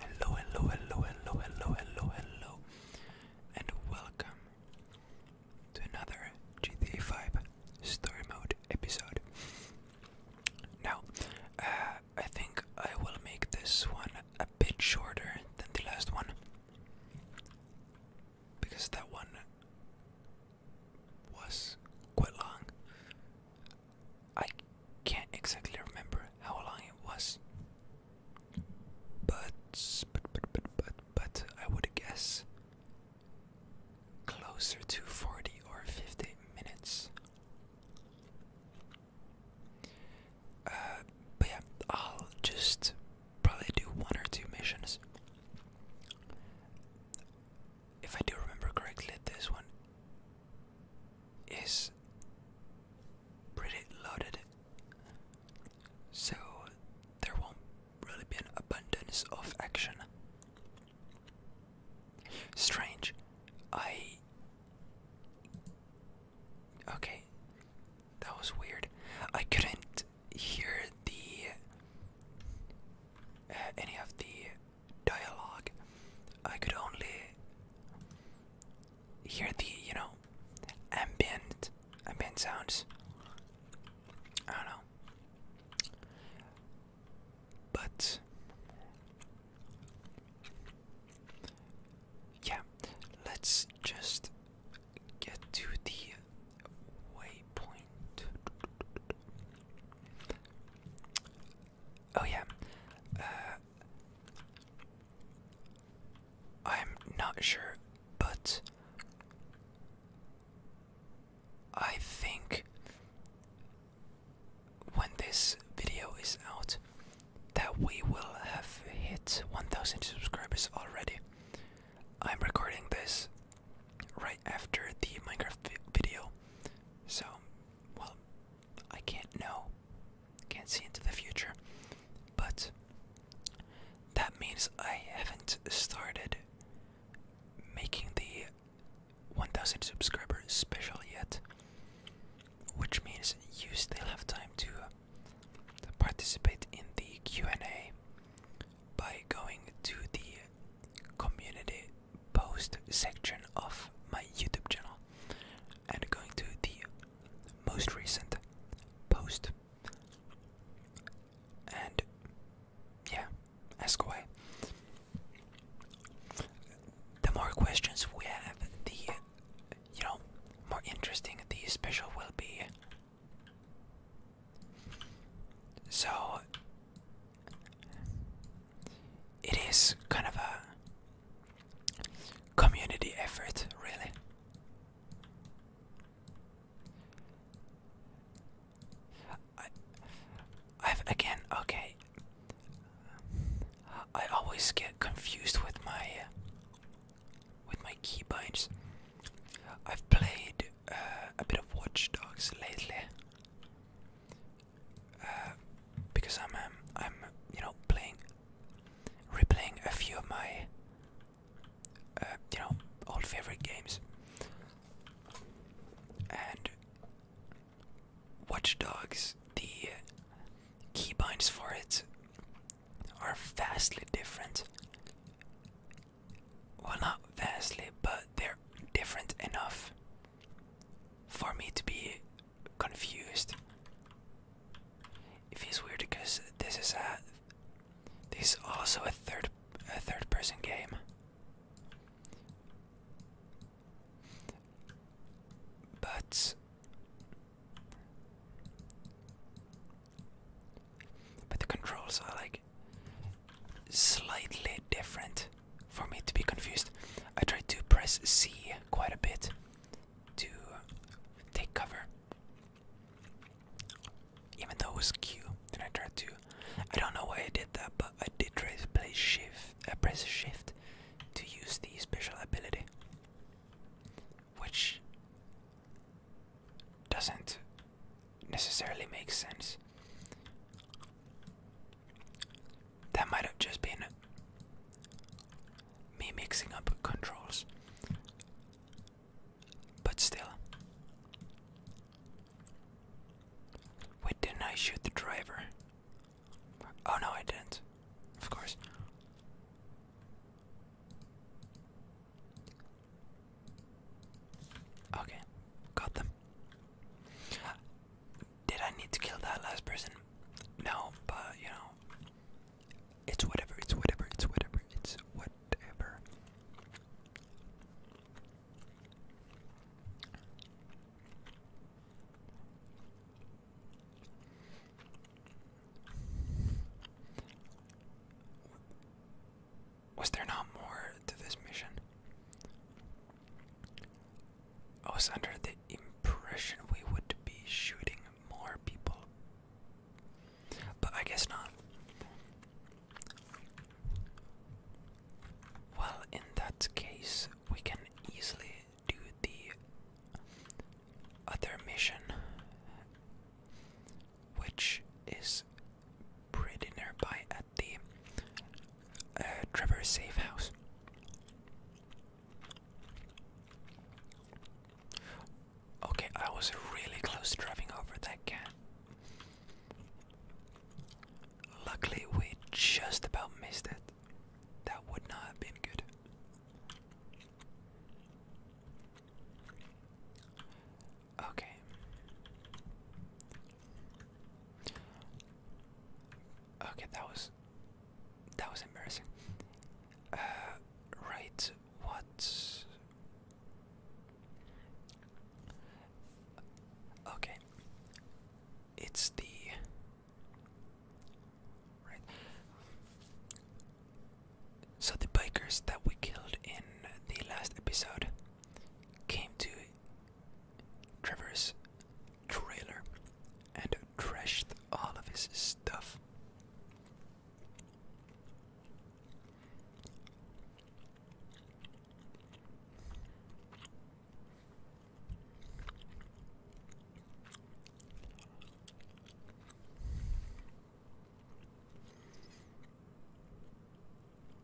Hello, hello, hello, hello, hello, hello, hello, and welcome to another GTA 5 Story Mode episode. Now, uh, I think I will make this one a bit shorter than the last one because that one was quite long. I can't exactly remember how long it was. But but but but but, I would guess closer to 40 or 50 minutes. Uh, but yeah, I'll just probably do one or two missions if I do remember correctly, this one is pretty loaded, so there won't really be an abundance of action. Strange. I. Okay. That was weird. I couldn't hear the. Uh, any of the dialogue. I could only hear the, you know, ambient, ambient sounds. I don't know. But yeah, let's just get to the waypoint. Oh yeah. Uh, I'm not sure, but I think when this video is out, that we will have hit 1000 subscribers already. I'm recording this right after the Minecraft video, so well, I can't know, can't see into the future, but that means I haven't started making the 1000 subscriber special yet, which means you still have time to participate in the Q&A by going to the community post section of my YouTube channel and going to the most recent post and yeah, ask away. The more questions we have, the you know, more interesting the special will be. So it is kind of a community effort, really. I, I've again, okay. I always get confused with my with my keybinds. I've played uh, a bit of Watch Dogs lately, because I'm um, I'm you know playing, replaying a few of my uh, you know old favorite games, and Watch Dogs the keybinds for it are vastly different. Well, not vastly, but they're different enough for me to be confused. It feels weird because this is a this is also a third a third person game. But but the controls are like slightly different for me to be confused. I tried to press C quite a bit to take cover, even though it was Q. then I tried to. I don't know why I did that, but I did press shift. I uh, press shift to use the special ability, which doesn't necessarily make sense. That might have just been me mixing up controls. But still. why didn't I shoot the driver? Oh no, I didn't. Of course. Okay, got them. Did I need to kill that last person? No, but you know, it's whatever, it's whatever, it's whatever, it's whatever. Was there not more to this mission? I was under the impression we would be shooting more people. But I guess not. Well, in that case, we can easily do the other mission, which is pretty nearby at the uh, Trevor safe house. Okay, I was really close to driving over that cat. Luckily, we just about missed it. That would not have been good. Okay. Okay, that was that was embarrassing. Uh, right, what? Okay, it's the So the bikers that we killed in the last episode came to Trevor's trailer and trashed all of his stuff.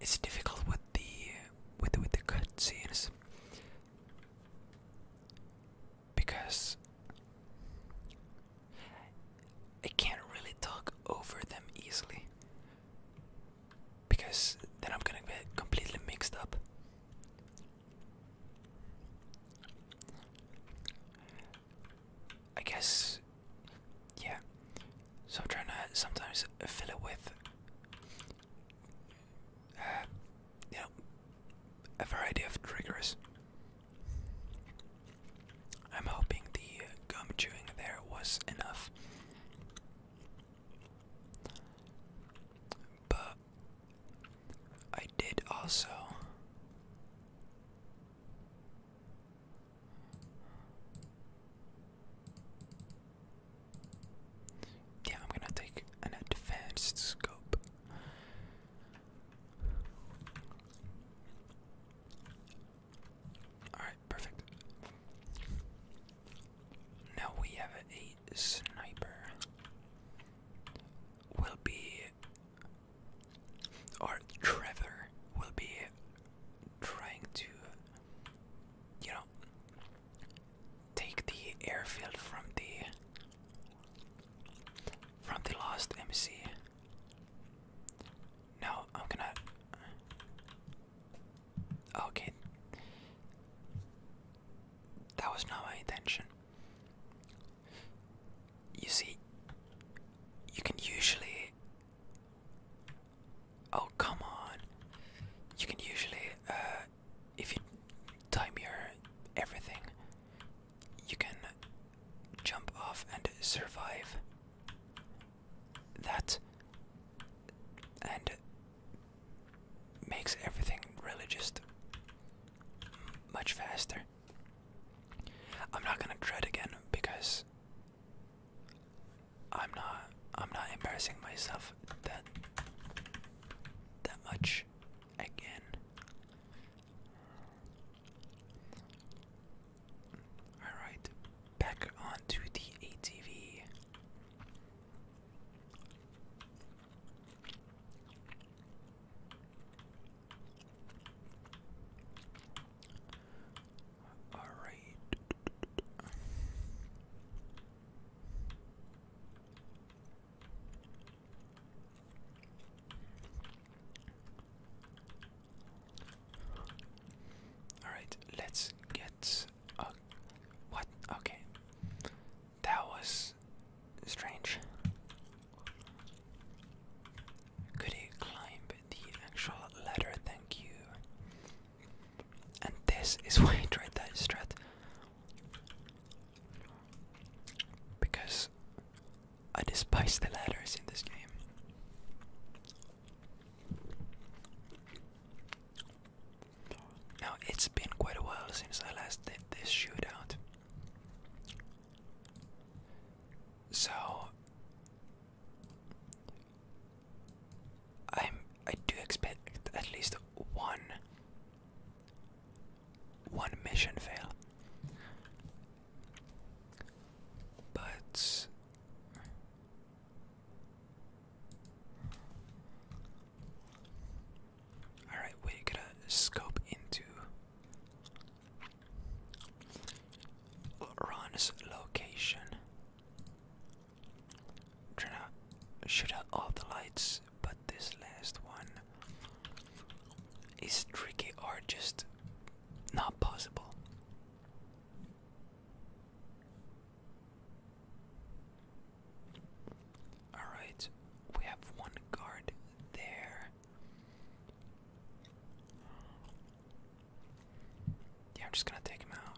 It's difficult with the with with the cutscenes because I can't really talk over them easily because then I'm gonna get completely mixed up. I guess, yeah. So I'm trying to sometimes fill it with, uh, you know, a variety of triggers. I'm hoping the gum chewing there was enough. But I did also. Yeah, I'm gonna take an advanced scope. Alright, perfect. Now we have a sniper. Will be or Trevor will be trying to, you know, take the airfield from the from the lost MC. No, I'm gonna. Okay, that was not my intention. You see, you can usually. Oh, come on. You can usually, uh, if you time your everything, you can jump off and survive that and makes everything really just much faster. I'm not gonna tread again because I'm not I'm not embarrassing myself that that much again. Alright, back onto the ATV. All right. All right, let's get a what? Okay. That was strange. Could he climb the actual ladder? Thank you. And this is why I tried that strat. Because I despise the ladders in this game. Now, it's been quite a while since I last did this shootout. So i I do expect at least one one mission fail. But Alright, we're gonna scope into Ron's location. Trying shoot out all the lights, but this last one is tricky or just not possible. Alright, we have one guard there. Yeah, I'm just gonna take him out.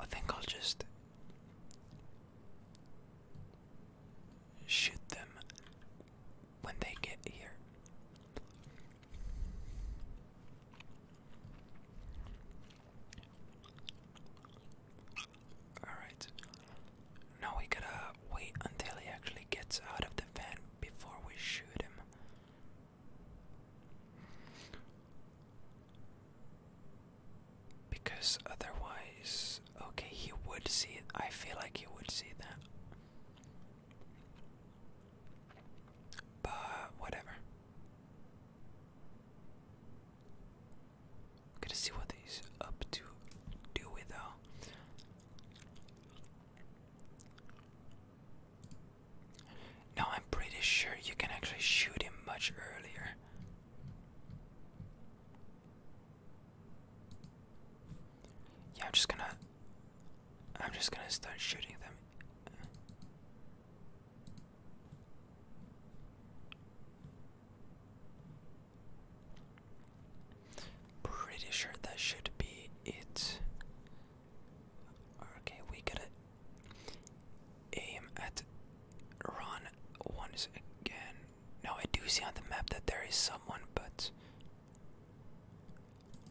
I think I'll just shoot them when they get here. Alright. Now we gotta wait until he actually gets out of the van before we shoot him. Because otherwise, okay, he would see I feel like he would see that. But whatever. I'm to see what he's up to do with though. No, I'm pretty sure you can actually shoot him much earlier. Yeah, I'm just gonna I'm just gonna start shooting them Pretty sure that should be it. Okay, we gotta aim at Ron once again. Now, I do see on the map that there is someone, but.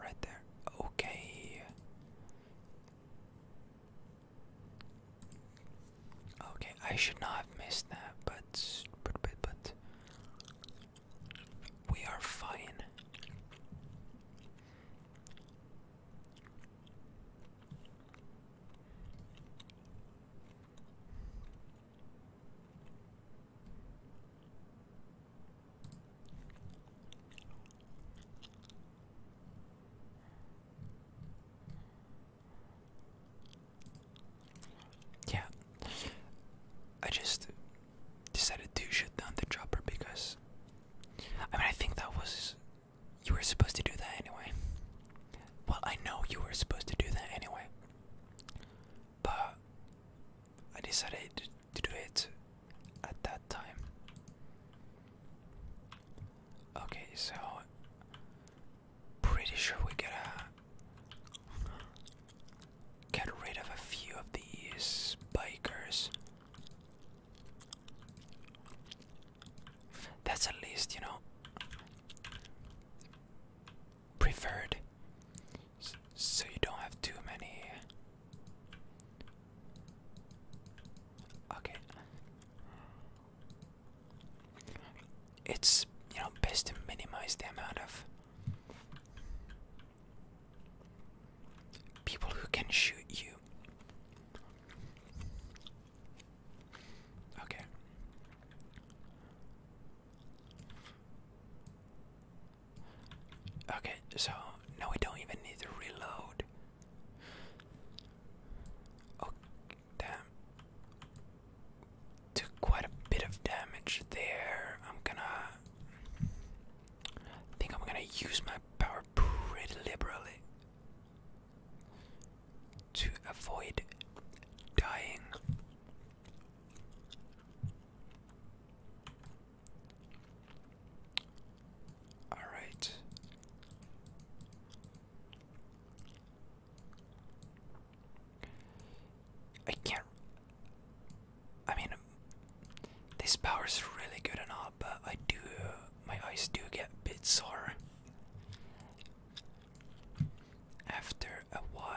Right there. Okay. Okay, I should not have missed that, but but but, but we are fine. Yeah, I just decided to shut down the dropper because I mean, I think that was you were supposed to do that anyway. Well, I know you were supposed to do that anyway, but I decided to do it at that time. Okay, so pretty sure we gotta get rid of a few of these bikers. That's at least, you know, preferred. So you don't have too many Okay. It's, you know, best to minimize the amount of people who can shoot you. Okay. Okay, so now we don't even need to reload. Oh, damn. Took quite a bit of damage there. I'm gonna. I think I'm gonna use my power pretty liberally to avoid dying. All right. I can't. I mean, this power's really good and all, but I do. my eyes do get a bit sore after a while.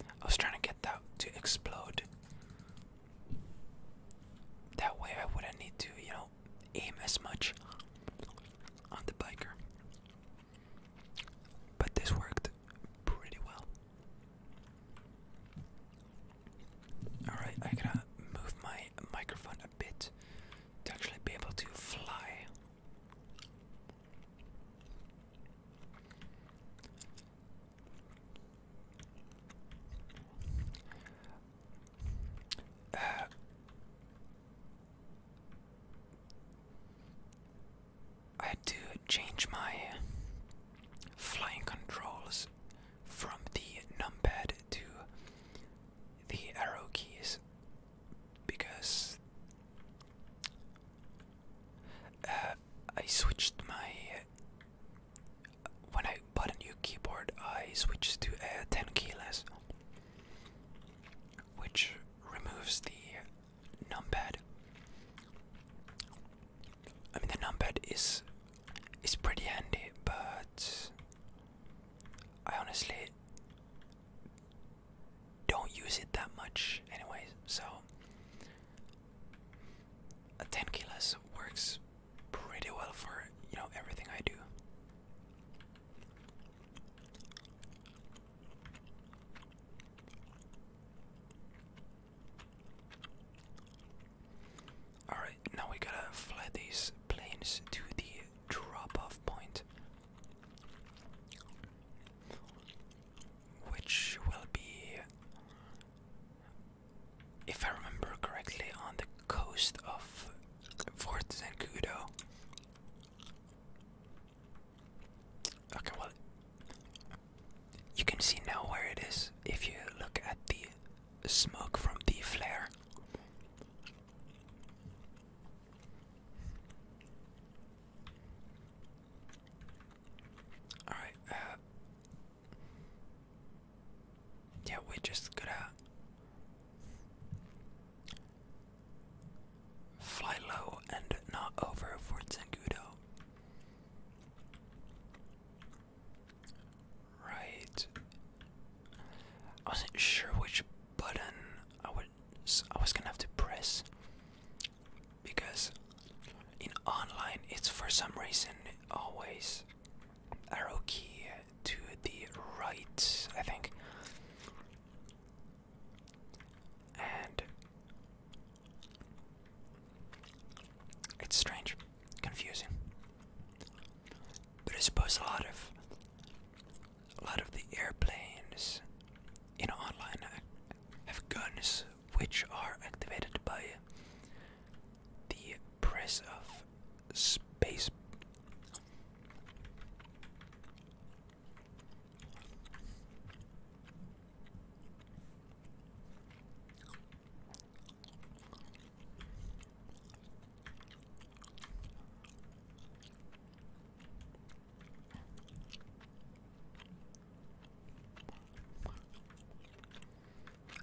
I was trying to get that to explode. That way I wouldn't need to, you know, aim as much on the biker. But this worked pretty well. Alright, I I'm to move my microphone a bit to actually be able to fly. I had to change my flying controls from the numpad to the arrow keys because uh, I switched my when I bought a new keyboard, I switched to a 10 keyless, which removes the pad. I mean, the numpad is is pretty handy, but I honestly don't use it that much anyway. so a 10 kilos works pretty well for you know everything I do all right now we gotta fly these planes to the drop off point which will be, if I remember correctly, on the coast of Fort Zancudo. Okay, well, you can see now where it is if you look at the smoke from the flare. All right. Uh, yeah, we just gotta fly low and not over Fort Zangudo. Right. I wasn't sure which button I would I was gonna have to press because in online it's for some reason always arrow key to the right, I think. And it's strange, confusing. But I suppose a lot of a lot of the airplanes in online have guns which are activated by the press of space.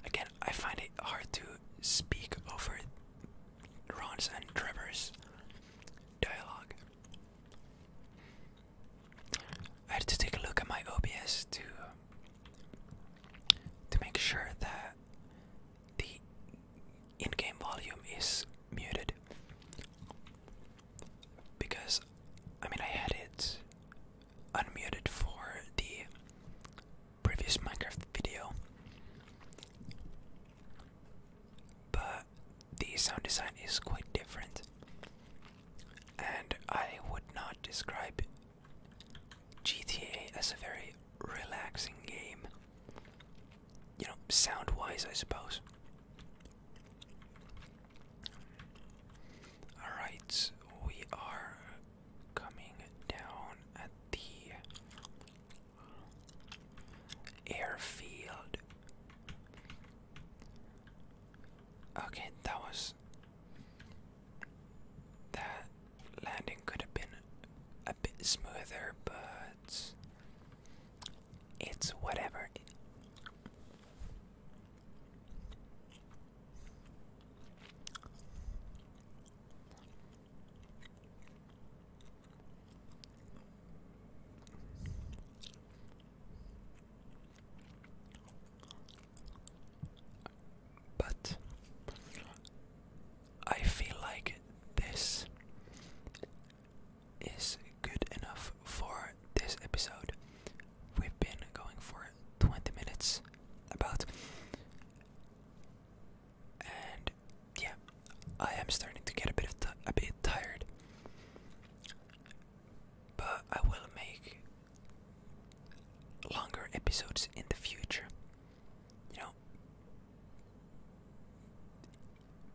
Again, I find it hard to speak over Ron's Trevor's dialogue. I had to take a look at my OBS to to make sure that the in-game volume is muted because I mean I had it unmuted for the previous Minecraft video, but the sound design is quite different, and I would not describe GTA as a very relaxing game you know, sound wise, I suppose. Alright, we are coming down at the airfield. Okay, that was. That landing could have been a bit smoother, but it's whatever. But I feel like this is good enough for this episode. We've been going for 20 minutes about. And yeah, I am starting to get a bit of a bit tired. But I will make longer episodes in the future. You know,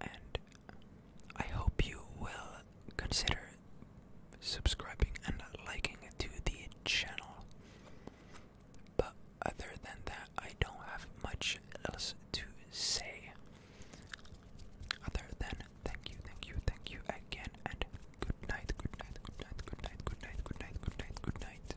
and I hope you will consider subscribing and liking to the channel. But other than that, I don't have much else to say. Other than thank you, thank you, thank you again, and good night, good night, good night, good night, good night, good night, good night, good night. Good night.